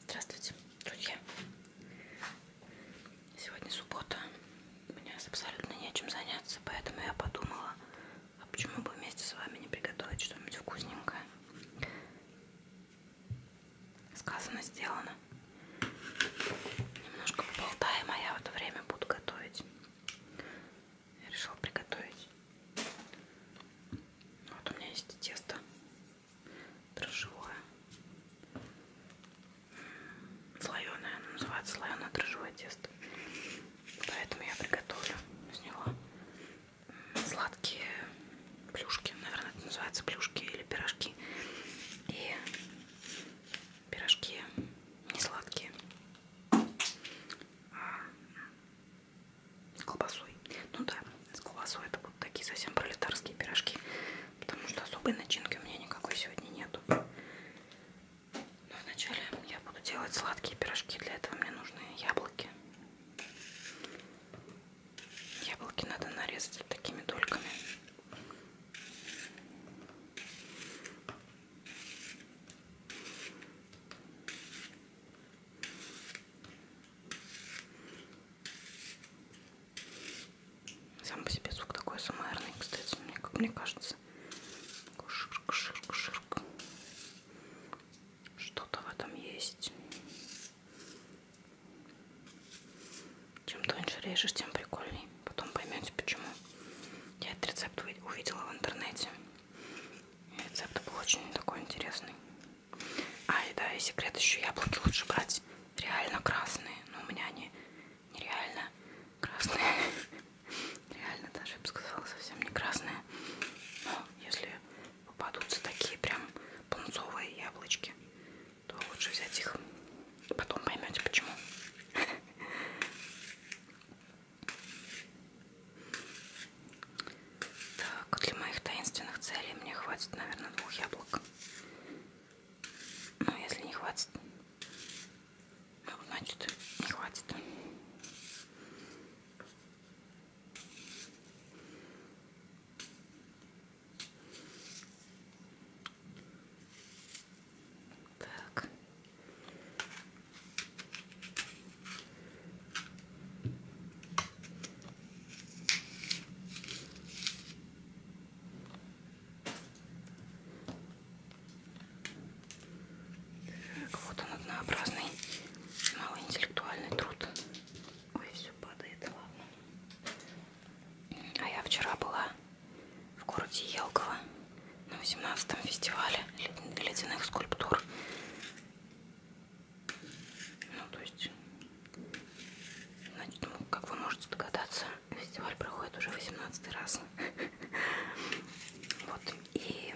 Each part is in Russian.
Здравствуйте, друзья! Сегодня суббота, у меня абсолютно нечем заняться, поэтому я подумала, а почему бы вместе с вами не приготовить что-нибудь вкусненькое. Сказано, сделано. Немножко поболтаем, а я в это время буду готовить. Я решила приготовить. Вот у меня есть тесто дрожжевое. Слоеное, оно называется слоеное дрожжевое тесто. Поэтому я приготовлю из него сладкие плюшки. Наверное, это называется плюшки или пирожки. И пирожки не сладкие. А колбасой. Ну да, с колбасой это будут такие совсем пролетарские пирожки, потому что особой начинки у меня никакой сегодня нету. Но вначале я буду делать сладкие пирожки. Для этого мне нужны яблоки. Яблоки надо нарезать такими дольками. Сам по себе звук такой суммарный, кстати, мне, как мне кажется. Ширк, ширк, ширк. Что-то в этом есть. Чем тоньше режешь, тем прикольней. Потом поймете почему. Я этот рецепт увидела в интернете. И рецепт был очень такой интересный. А, и да, и секрет еще яблоки лучше брать реально красные. Но ну, у меня они нереально красные. Реально даже, я бы сказала, совсем не красные. Но если попадутся такие прям пунцовые яблочки, то лучше взять их. Потом поймете почему. Так, для моих таинственных целей мне хватит, наверное, двух яблок. Ну, если не хватит, ну, значит, не хватит. Так. Так, вот он однообразный, малый интеллектуальный труд. Ой, все падает, ладно. А я вчера была в городе Елково на 18-м фестивале ледяных скульптур. Ну, то есть, значит, ну, как вы можете догадаться, фестиваль проходит уже 18 раз. Вот, и,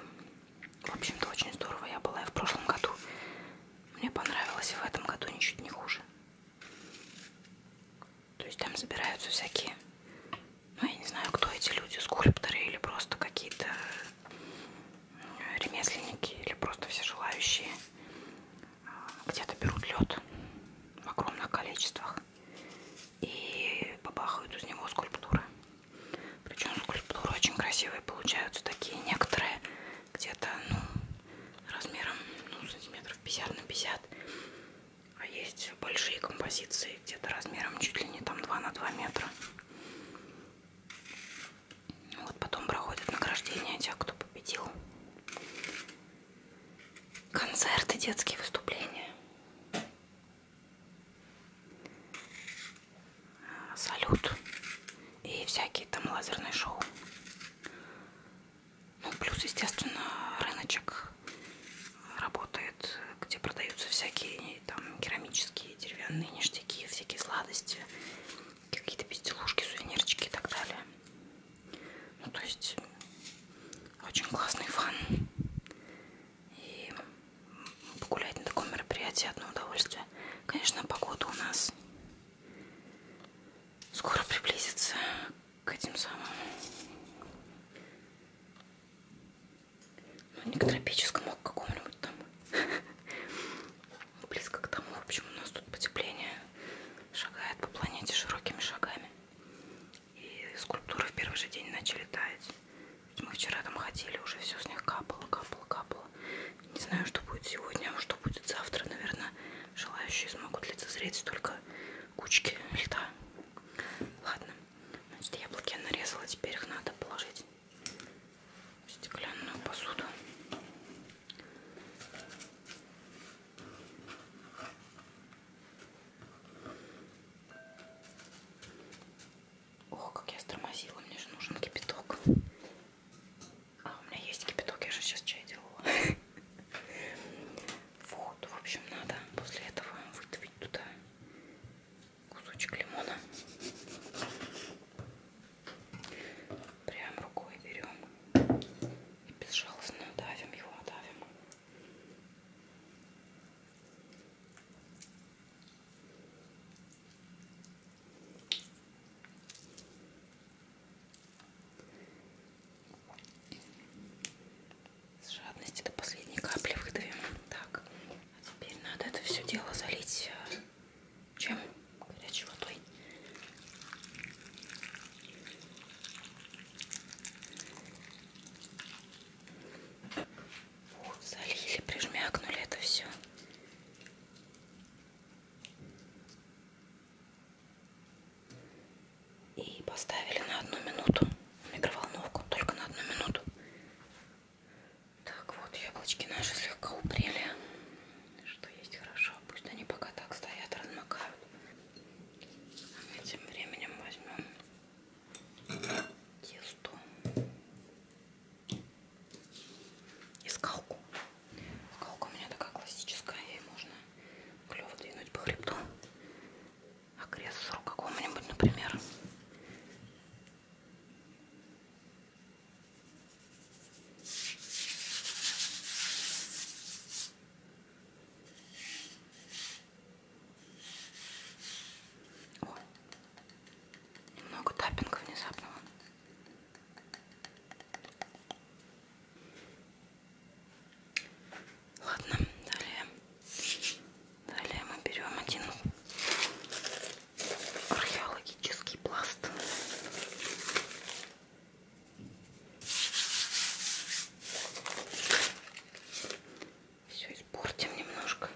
в общем-то, очень здорово я была и в прошлом году. Мне понравилось, и в этом году ничуть не хуже. То есть там собираются всякие, ну, я не знаю, кто эти люди, скульпторы или просто какие-то ремесленники или просто все желающие а, где-то берут лед в огромных количествах и побахают из него скульптуры. Причем скульптуры очень красивые получаются такие некоторые где-то ну, размером ну, сантиметров 50 на 50. А есть большие композиции где-то размером чуть ли не там 2 на 2 метра. Вот потом проходит награждение тех, кто победил. Концерты, детские выступления. Салют. И всякие там лазерные шоу. Ну, плюс, естественно, рыночек работает, где продаются всякие там керамические, деревянные ништяки, всякие сладости, какие-то безделушки, сувенирчики и так далее. Ну, то есть, очень классный фан. И погулять на таком мероприятии одно удовольствие. Конечно, погода у нас скоро приблизится к этим самым ну, не к тропическому, а к какому-нибудь там близко к тому, в общем, у нас тут потепление шагает по планете широкими шагами. И скульптуры в первый же день начали таять. Мы вчера там ходили, уже все с них капало, капало, капало. Не знаю, что будет сегодня, а что будет завтра, наверное, желающие смогут лицезреть столько кучки льда. Ладно, значит, яблоки я нарезала, теперь их надо положить стеклянную посуду. Ох, как я стормозила, мне же нужен кипяток. А, у меня есть кипяток, я же сейчас чай делала. Вот, в общем, надо после этого выдавить туда кусочек лимона. Прям рукой берем и безжалостно давим его, давим. С жадности до последней капли выдавим. Так, а теперь надо это все дело залить э, чем горячей водой. Вот, залили, прижмякнули это все. И поставили на одну минуту в микроволновку, только на одну минуту. Так, вот яблочки наши слегка упрели. Что есть хорошо. Пусть они пока так стоят, размокают. А мы тем временем возьмем тесто и скалку. Скалка у меня такая классическая, ей можно клево двинуть по хребту. Окрест а срок какому-нибудь, например. Ой, много таппинга внезапного. Ладно, далее. Далее мы берем один археологический пласт. Все испортим немножко.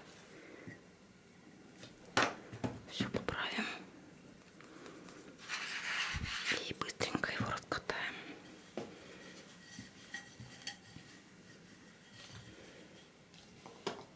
Все поправим. И быстренько его раскатаем.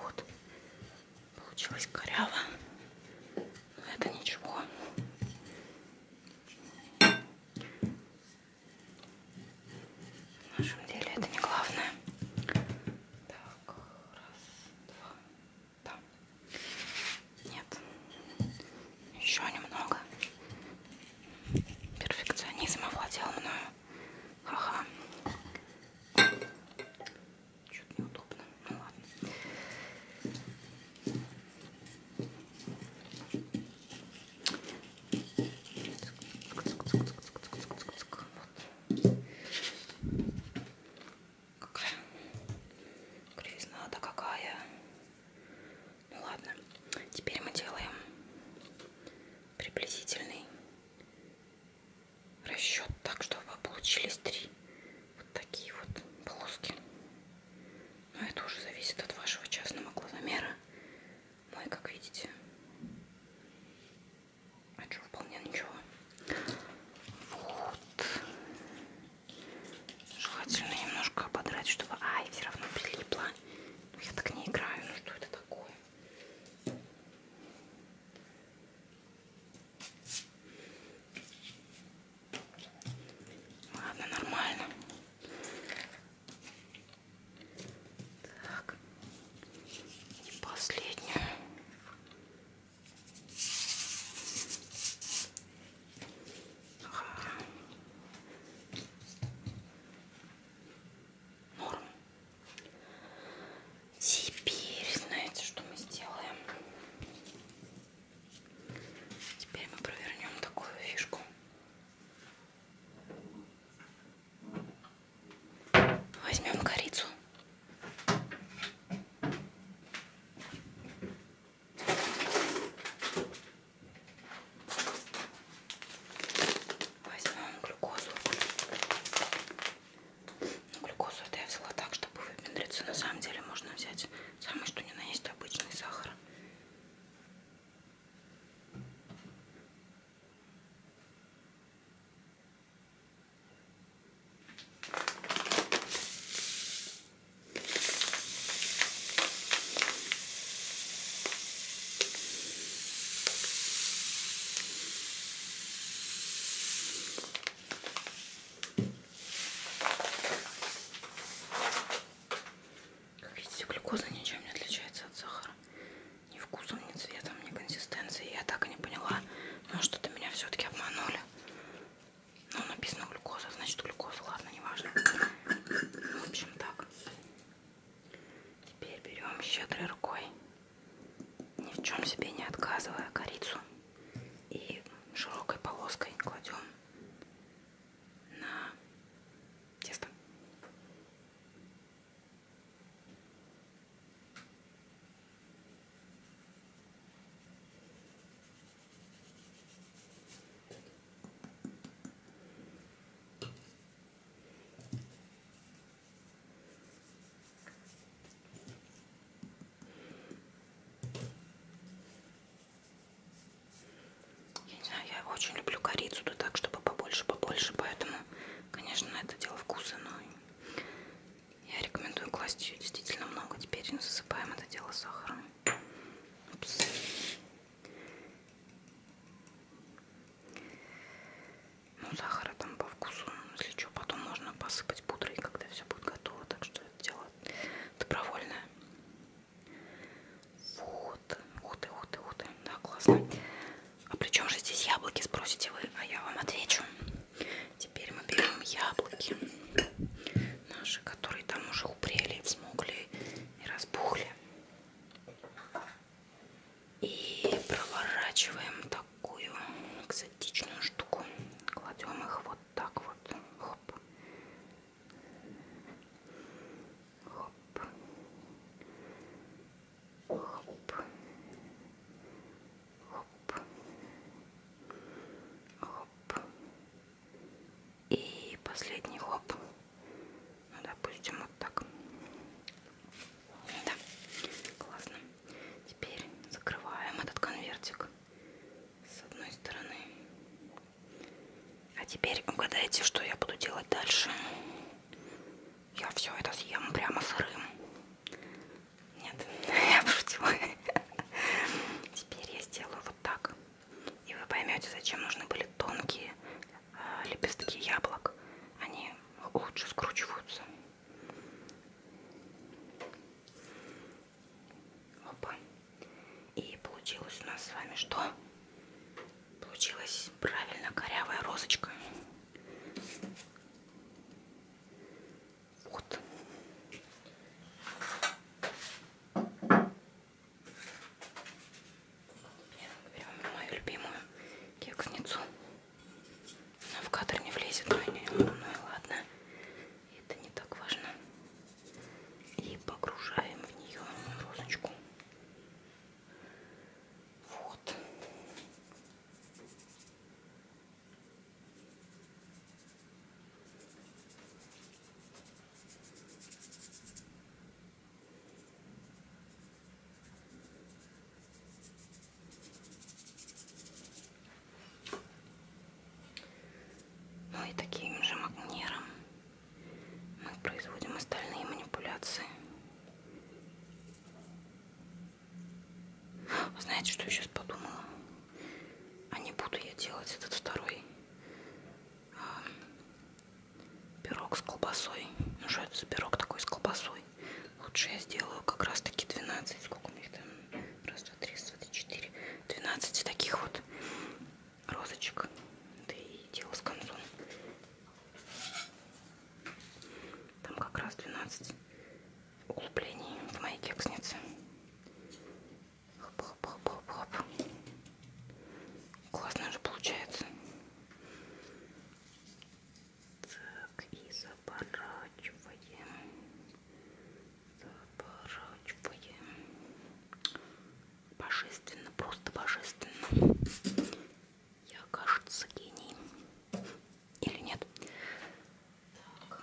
Вот. Получилось коряво. Но это ничего. В нашем деле это не главное. Так, раз, два, да. Нет. Еще немного. Перфекционизм овладел мною. Ха-ха. Чуть неудобно. Ну ладно. Вот. Какая кривизна-то какая. Ну ладно, теперь мы делаем приблизительный расчет так, чтобы получились три вот такие вот полоски. Но ну, это уже зависит от вашего частного глазомера. Мой, как видите, а что, вполне ничего. Вот. Желательно немножко ободрать, чтобы... Ай, все равно прилипла. Но ну, я так не играю. Ну что это такое? Ладно, нормально. Так. И последнюю. Норм. Теперь, знаете, что мы сделаем? Теперь мы провернем такую фишку. Возьмем корицу. Возьмем глюкозу. Ну, глюкозу это я взяла так, чтобы выпендриться. На самом деле можно взять самый что ни на есть обычный сахар. Как видите, глюкоза ничем не отличается от сахара. Ни вкусом, ни цветом, ни консистенцией. Я так и не поняла, но что-то меня все-таки обманули. Ну, написано глюкоза, значит глюкоза, ладно, неважно. В общем, так. Теперь берем щедрой рукой, ни в чем себе не отказывая, корицу. И широкой полоской кладем на тесто. Я не знаю, я очень люблю корицу, да так, чтобы побольше, побольше, поэтому, конечно, это дело вкуса, но я рекомендую класть ее действительно много. Теперь засыпаем это дело сахаром. Упс. Ну, сахара там по вкусу, если что, потом можно посыпать пудрой, когда все будет готово. Так что это дело добровольное. Вот. Ух ты, ух ты, ух ты. Да, классно. А при чем же здесь яблоки, спросите вы? А я вам отвечу. Теперь мы берем яблоки наши, которые там уже упрели, взмокли и разбухли. И проворачиваем такую экзотичную штуку. Кладем их вот так вот. Хоп. Хоп. Хоп. Хоп. Хоп хоп. И последний хоп. Ну, допустим, вот так. Да, классно. Теперь закрываем этот конвертик с одной стороны. А теперь угадайте, что я буду делать дальше. Я все это съем прямо сырым. Нет, я пошутила. Теперь я сделаю вот так. И вы поймете, зачем нужны были тонкие э, лепестки яблок. Они лучше скручиваются. Опа. И получилось у нас с вами что? Получилась правильно корявая розочка. Вот. Берем мою любимую кексницу. Она в кадр не влезет, но не, ну и ладно. Это не так важно. И погружаем в нее розочку. Вот. Ну и таким же магниром мы производим остальные манипуляции. Знаете, что я сейчас подумала? А не буду я делать этот второй а, пирог с колбасой. Ну что это за пирог такой с колбасой? Лучше я сделаю как раз таки 12. Сколько у них там? Раз, два, три, четыре, четыре. 12 таких вот розочек. Да и дело с концом. Там как раз 12 углублений в моей кекснице. Хоп, хоп, хоп, хоп, хоп. Классно же получается. Так, и заворачиваем. Заворачиваем. Божественно, просто божественно. Я, кажется, гений. Или нет? Так.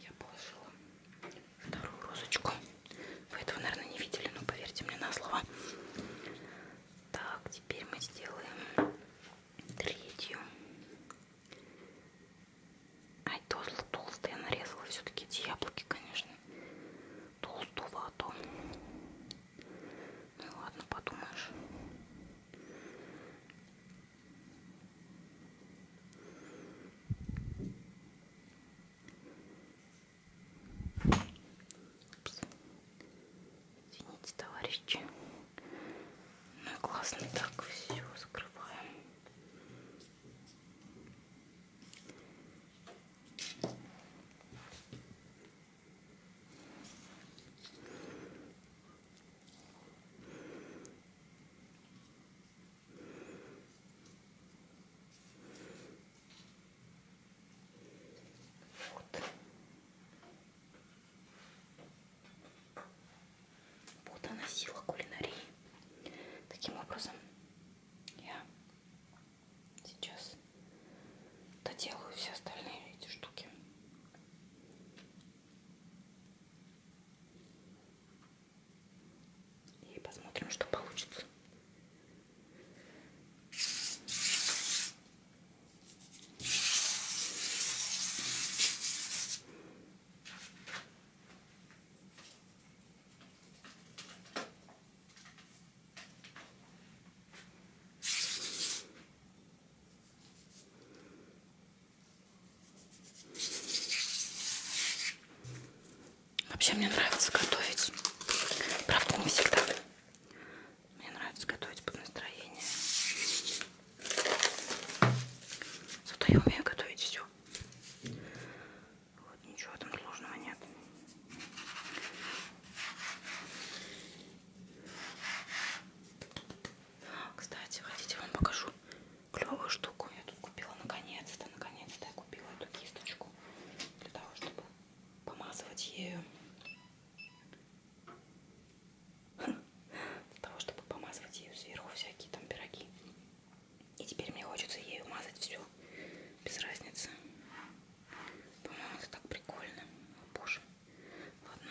Я положила вторую розочку. Вы этого, наверное, не видели, но поверьте мне на слово. Так, теперь мы сделаем третью. Ай, толстая, толстая нарезала все-таки эти яблоки, конечно. Толстого, а то... Ну ладно, подумаешь. Извините, товарищи. Ну, классно так все закрываем. Вот. Вот она сила кулинарии. Таким образом я сейчас доделаю все остальные эти штуки. И посмотрим, что получится. Вообще мне нравится готовить. Правда, не всегда. Мне нравится готовить под настроение. Зато я умею готовить все. Вот, ничего там сложного нет. Кстати, хотите, вам покажу клевую штуку я тут купила. Наконец-то, наконец-то я купила эту кисточку для того, чтобы помазывать ею. Для того, чтобы помазывать ею сверху всякие там пироги. И теперь мне хочется ею мазать все. Без разницы. По-моему, это так прикольно. О, боже. Ладно.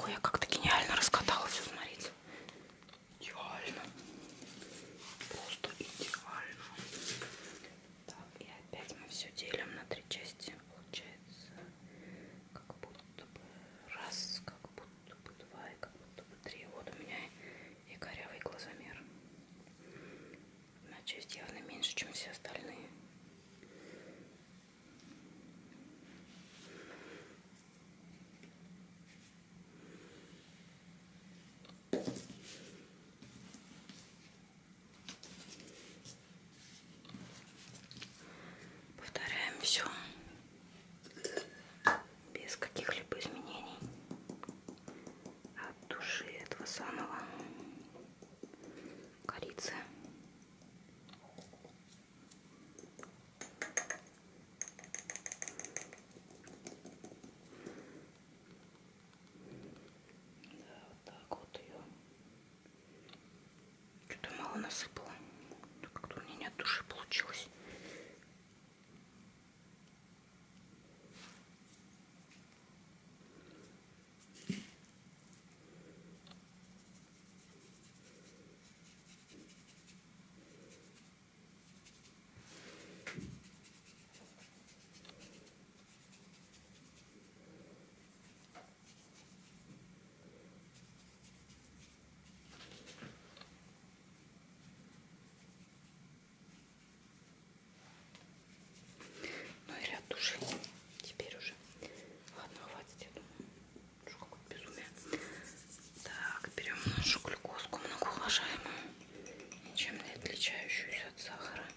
Ой, я как-то гениально раскатала все, смотрите. Идеально. Просто идеально. Так, и опять мы все делим на три части. Получается, как будто бы раз, как будто бы два и как будто бы три. Вот у меня и корявый глазомер. Одна часть явно меньше, чем все остальные. Повторяем все без каких-либо изменений от души этого самого корицы. Да, вот так вот ее. Что-то мало насыпала. Как-то у меня не от души получилось. Ну и ряд души теперь уже. Ладно, хватит, я думаю. Что какое безумие. Так, берем нашу глюкозку многоуважаемую, ничем не отличающуюся от сахара.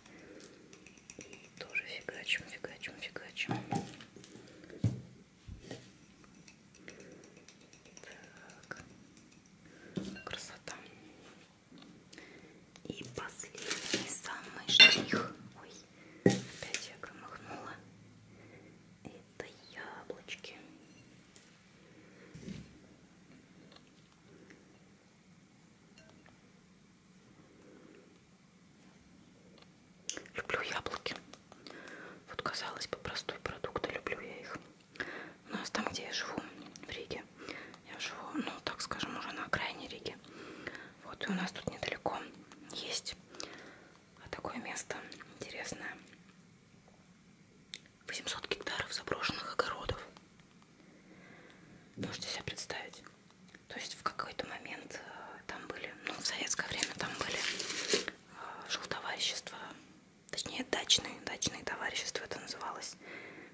И тоже фигачим, фигачим, фигачим. Так. Красота. И последний самый штрих. Ой, опять я громыхнула. Это яблочки. Люблю яблоки. Вот казалось бы простой продукт, а люблю я их. У нас там, где я живу, в Риге, я живу, ну так скажем, уже на окраине Риги. Вот и у нас тут недалеко есть такое место интересное. 800 гектаров заброшенных огородов. Можете себе представить? То есть в какой-то момент э, там были, ну в советское время там были э, жилтоварищества, точнее дачные, дачные товарищества это называлось,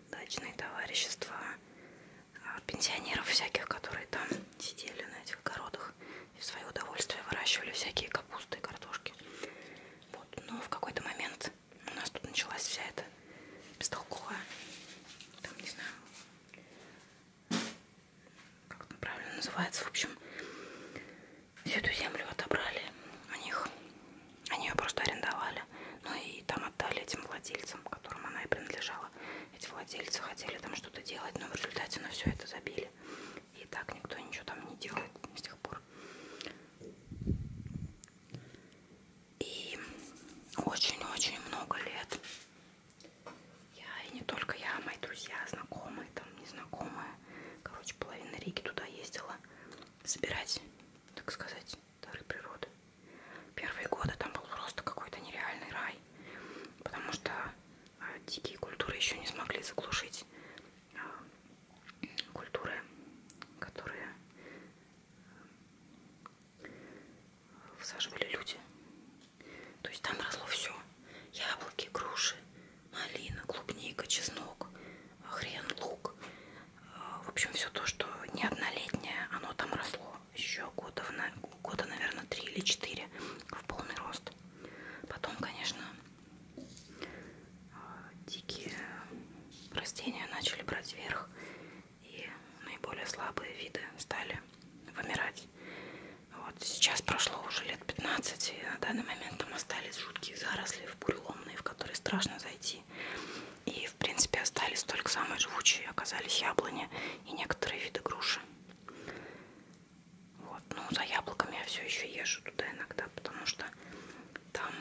дачные товарищества э, пенсионеров всяких, которые там сидели на этих огородах и в свое удовольствие выращивали всякие капусты и картошки. Вот. Но в какой-то момент месяц у нас тут началась вся эта бестолковая, там не знаю, как там правильно называется, в общем, всю эту землю отобрали у них, они ее просто арендовали, ну и там отдали этим владельцам, которым она и принадлежала. Эти владельцы хотели там что-то делать, но в результате на все это забили. И так никто ничего там не делает с тех пор. И очень-очень много лет я, и не только я, а мои друзья, знакомые, там, незнакомые, короче, половина Риги туда ездила собирать, так сказать, дары природы. Первые годы там был просто какой-то нереальный рай, потому что а, дикие культуры еще не смогли заглушить а, культуры, которые высаживали люди. То есть там росло все. Яблоки, груши, малина, клубника, чеснок, хрен, лук. А, в общем, все то, что не однолетнее, оно там росло еще года, года наверное, три или четыре в полный рост. Потом, конечно, а, дикие растения начали брать вверх и наиболее слабые виды стали вымирать. Вот. Сейчас прошло уже лет 15, и на данный момент там остались жуткие заросли в буреломные, в которые страшно зайти. И, в принципе, остались только самые живучие, оказались яблони и некоторые виды груши. Вот. Ну, за яблоками я все еще езжу туда иногда, потому что там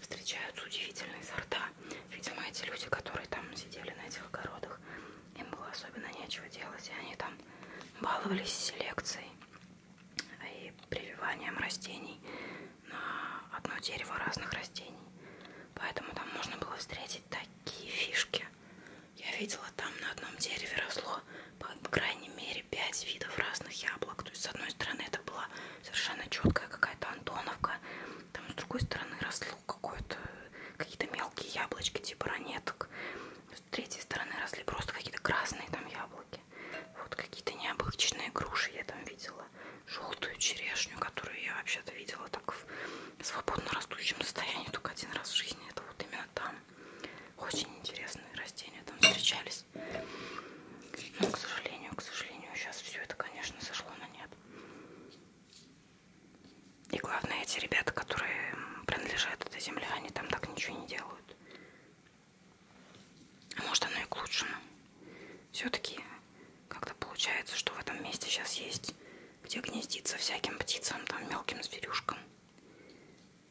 встречаются удивительные сорта. Видимо, эти люди, которые там сидели на этих огородах, им было особенно нечего делать, и они там баловались селекцией и прививанием растений на одно дерево разных растений. Поэтому там можно было встретить такие фишки. Я видела, там на одном дереве росло, по крайней мере, пять видов разных яблок. То есть, с одной стороны, это была совершенно четкая какая-то Антоновка, там с другой стороны росло какое-то какие-то мелкие яблочки типа ранеток. С третьей стороны росли просто какие-то красные там яблоки. Вот какие-то необычные груши я там видела. Желтую черешню, которую я вообще-то видела так в свободно растущем состоянии только один раз в жизни. Это вот именно там. Очень интересные растения там встречались. Но, к сожалению, к сожалению, сейчас все это, конечно, сошло на нет. И главное, эти ребята, которые принадлежат этой земле, они там так ничего не делают. А может, оно и к лучшему. Все-таки как-то получается, что в этом месте сейчас есть, где гнездиться всяким птицам, там мелким зверюшкам.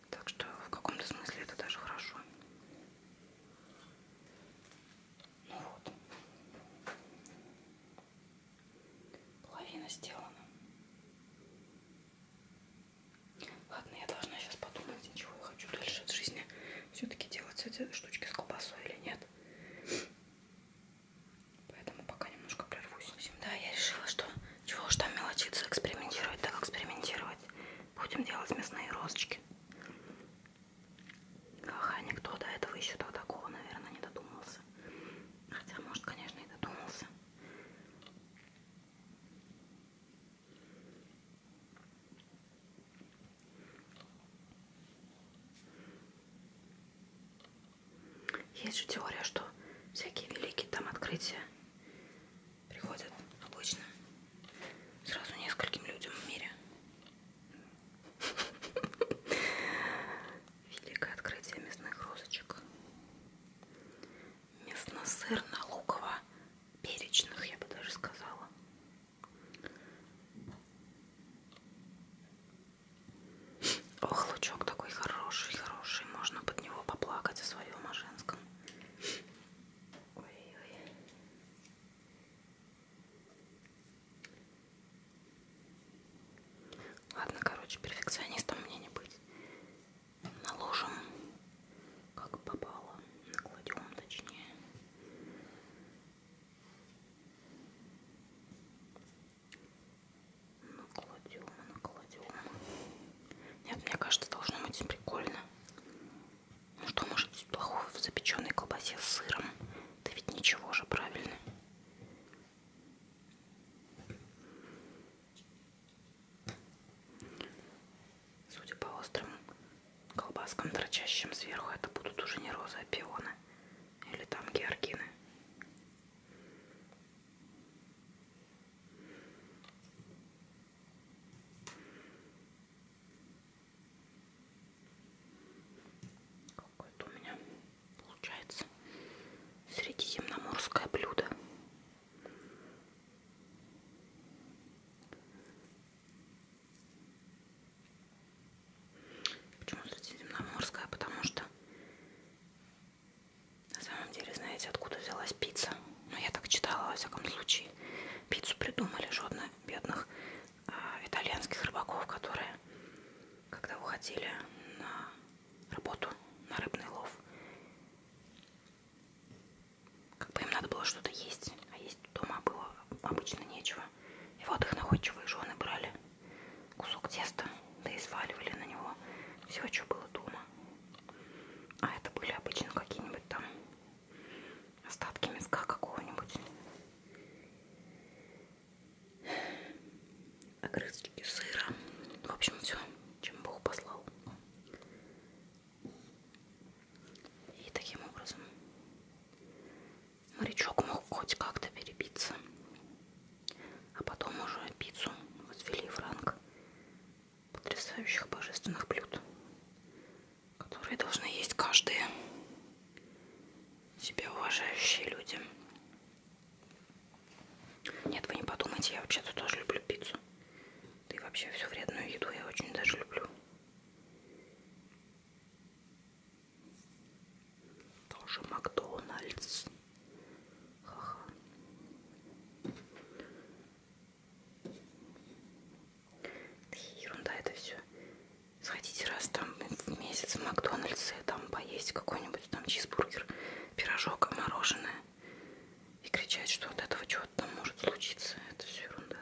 Так что в каком-то смысле это даже хорошо. Ну вот. Половина сделана. Ладно, я должна сейчас подумать, чего я хочу дальше от жизни. Все-таки делать эти штучки с колбасой или нет. Поэтому пока немножко прервусь. Да, я решила, что чего уж там мелочиться, экспериментировать, так экспериментировать. Будем делать мясные розочки. Ха, никто до этого еще до такого, наверное, не додумался. Хотя, может, конечно, и додумался. Есть же теория, что всякие великие там открытия приходят обычно сразу нескольким людям в мире. Великое открытие мясных розочек. Мясно-сырно-луково-перечных, я бы даже сказала. Ох, лучок такой хороший, хороший. Можно под него поплакать о своем, о женском. Ой -ой. Ладно, короче, перфекционистом мне не быть. Наложим, как попало, накладем точнее. Накладем, накладем. Нет, мне кажется, должно быть прикольно. Ну что может быть плохого в запеченной колбасе с сыром? Да ведь ничего же, правильно? Судя по острым колбаскам, торчащим сверху, это будут уже не розы, а пионы. Или там георгины. Какое-то у меня получается средиземноморское блюдо. Почему средиземноморская? Потому что на самом деле, знаете, откуда взялась пицца? Ну, я так читала, во всяком случае. Пиццу придумали, жодно бедных Э, итальянских рыбаков, которые, когда уходили на работу, на рыбный лов, как бы им надо было что-то есть, а есть дома было обычно нечего. И вот их находчивые жены брали кусок теста, да и сваливали на него все, что было дома. А это были обычно какие-нибудь там остатки мелка какого-нибудь. Огрызки сыра. В общем, все, чем Бог послал. И таким образом морячок мог хоть как-то перебиться. А потом уже пиццу возвели в ранг потрясающих божественных блюд которые должны есть каждые себе уважающие люди. Нет, вы не подумайте, я вообще-то тоже люблю пиццу. Да и вообще всю вредную еду я очень даже люблю. Тоже Макдональдс. Ха-ха. Да ерунда это все. Сходите раз там в месяц в Макдональдс и там поесть какой-нибудь там чизбургер, пирожок, мороженое. И кричать, что от этого чего-то там может случиться. Это все ерунда.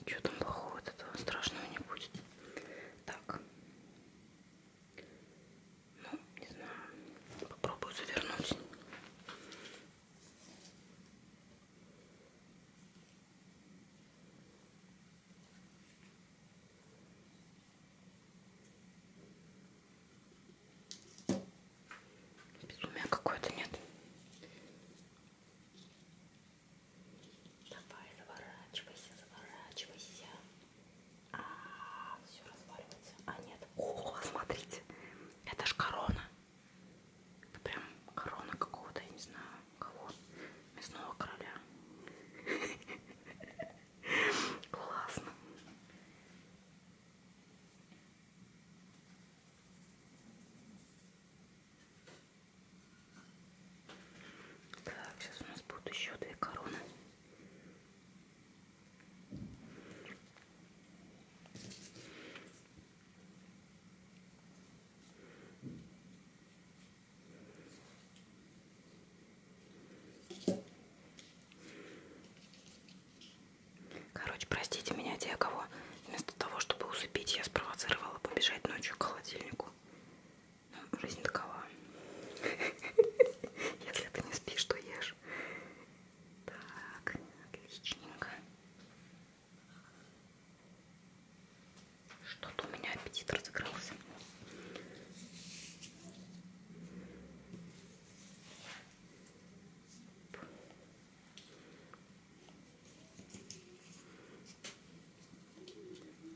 Ничего там плохого от этого страшного не будет. Так. Ну, не знаю. Попробую завернуть. Безумие какое-то нет. Давай, заворачивайся, заворачивайся. А, -а, -а все разваливается. А нет. О, смотрите, это ж корона. Это прям корона какого-то, я не знаю, кого. Мясного короля. Классно. Так, сейчас у нас будут еще две короны. Короче, простите меня, те, кого вместо того, чтобы усыпить, я спровоцировала побежать ночью к холодильнику. Ну, жизнь такова. Если ты не спишь, то ешь. Так, отличненько. Что-то у меня аппетит разыгрался.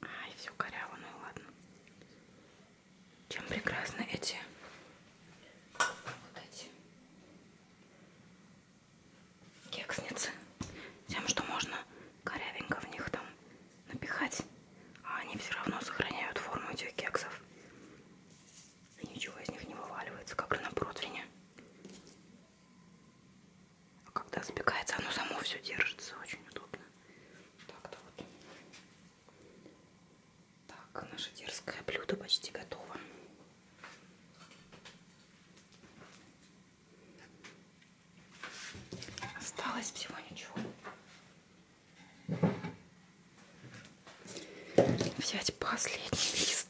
Ай, все коряво, ну ладно. Чем прекрасны эти вот эти кексницы тем, что можно корявенько в них там напихать, а они все равно сохраняют форму этих кексов. И ничего из них не вываливается, как на противне. А когда запекается, оно само все держится, очень удобно. Так-то вот. Так, наше дерзкое блюдо почти готово. Осталось всего ничего. Взять последний лист.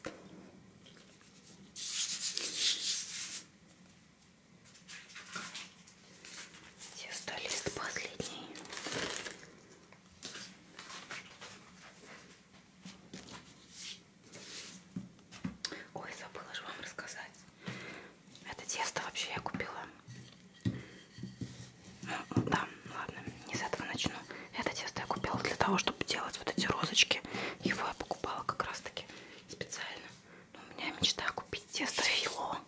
Тесто лист последний. Ой, забыла же вам рассказать. Это тесто вообще я купила. Ну, да, ладно, не с этого начну. Это тесто я купила для того, чтобы делать вот эти розочки. Его я покупала как раз таки специально. Но у меня мечта купить тесто фило.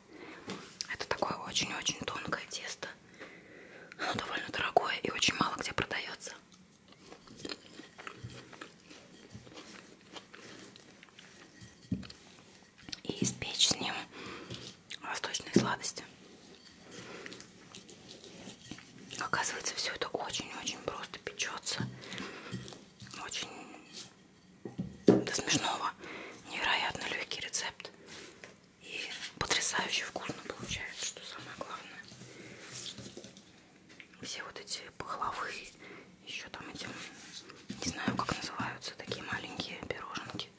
Это такое очень-очень тонкое тесто. Оно довольно дорогое и очень мало где продается и испечь с ним восточные сладости. Оказывается, все это очень-очень просто печется. Очень до смешного. Невероятно легкий рецепт. И потрясающе вкусно получается, что самое главное все вот эти пахлавы, еще там эти, не знаю, как называются, такие маленькие пироженки.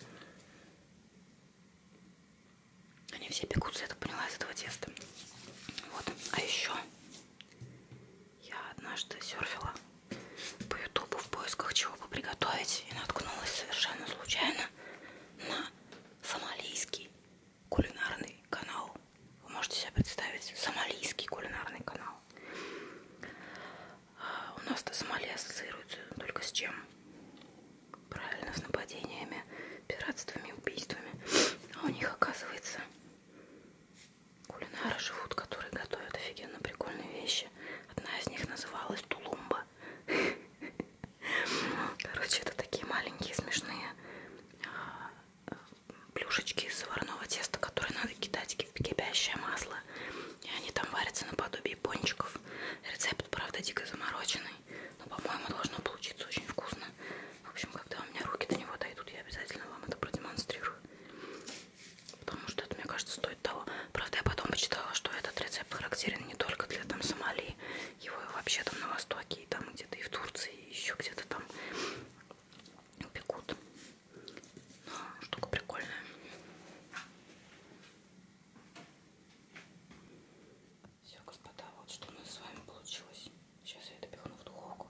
Они все пекутся, я так поняла, из этого теста. Вот. А еще я однажды серфила по ютубу в поисках чего бы приготовить и наткнулась совершенно случайно на сомалийский кулинарный канал. Вы можете себе представить сомалийский кулинарный канал. А у нас-то Сомали ассоциируется только с чем? Правильно, с нападениями, пиратствами, убийствами. А у них, оказывается, кулинары живут, которые готовят офигенно прикольные вещи. Одна из них называлась Тулумба. Короче, это такие маленькие смешные а, плюшечки из заварного теста, которые надо кидать в кипящее масло. И они там варятся наподобие пончиков. Рецепт, правда, дико замороченный. Но, по-моему, должно получиться очень вкусно. В общем, когда у меня руки до него дойдут, я обязательно вам это продемонстрирую. Потому что это, мне кажется, стоит того. Правда, я потом почитала, что этот рецепт характерен не только для там Сомали. Его и вообще там на Востоке такие там где-то и в Турции, и еще где-то там пекут. Но ну, штука прикольная. Все, господа, вот что у нас с вами получилось. Сейчас я это пихну в духовку,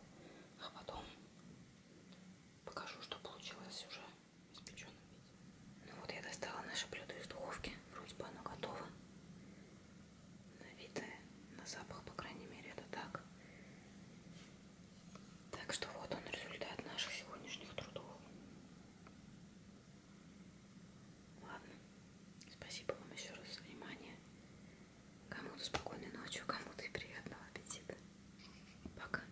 а потом покажу, что получилось уже в испеченном виде. Ну вот я достала наше блюдо из духовки. Вроде бы оно готово на вид и на запах, по крайней мере, это так. Так что вот он результат наших сегодняшних трудов. Ладно, спасибо вам еще раз за внимание. Кому-то спокойной ночи, кому-то и приятного аппетита. Пока.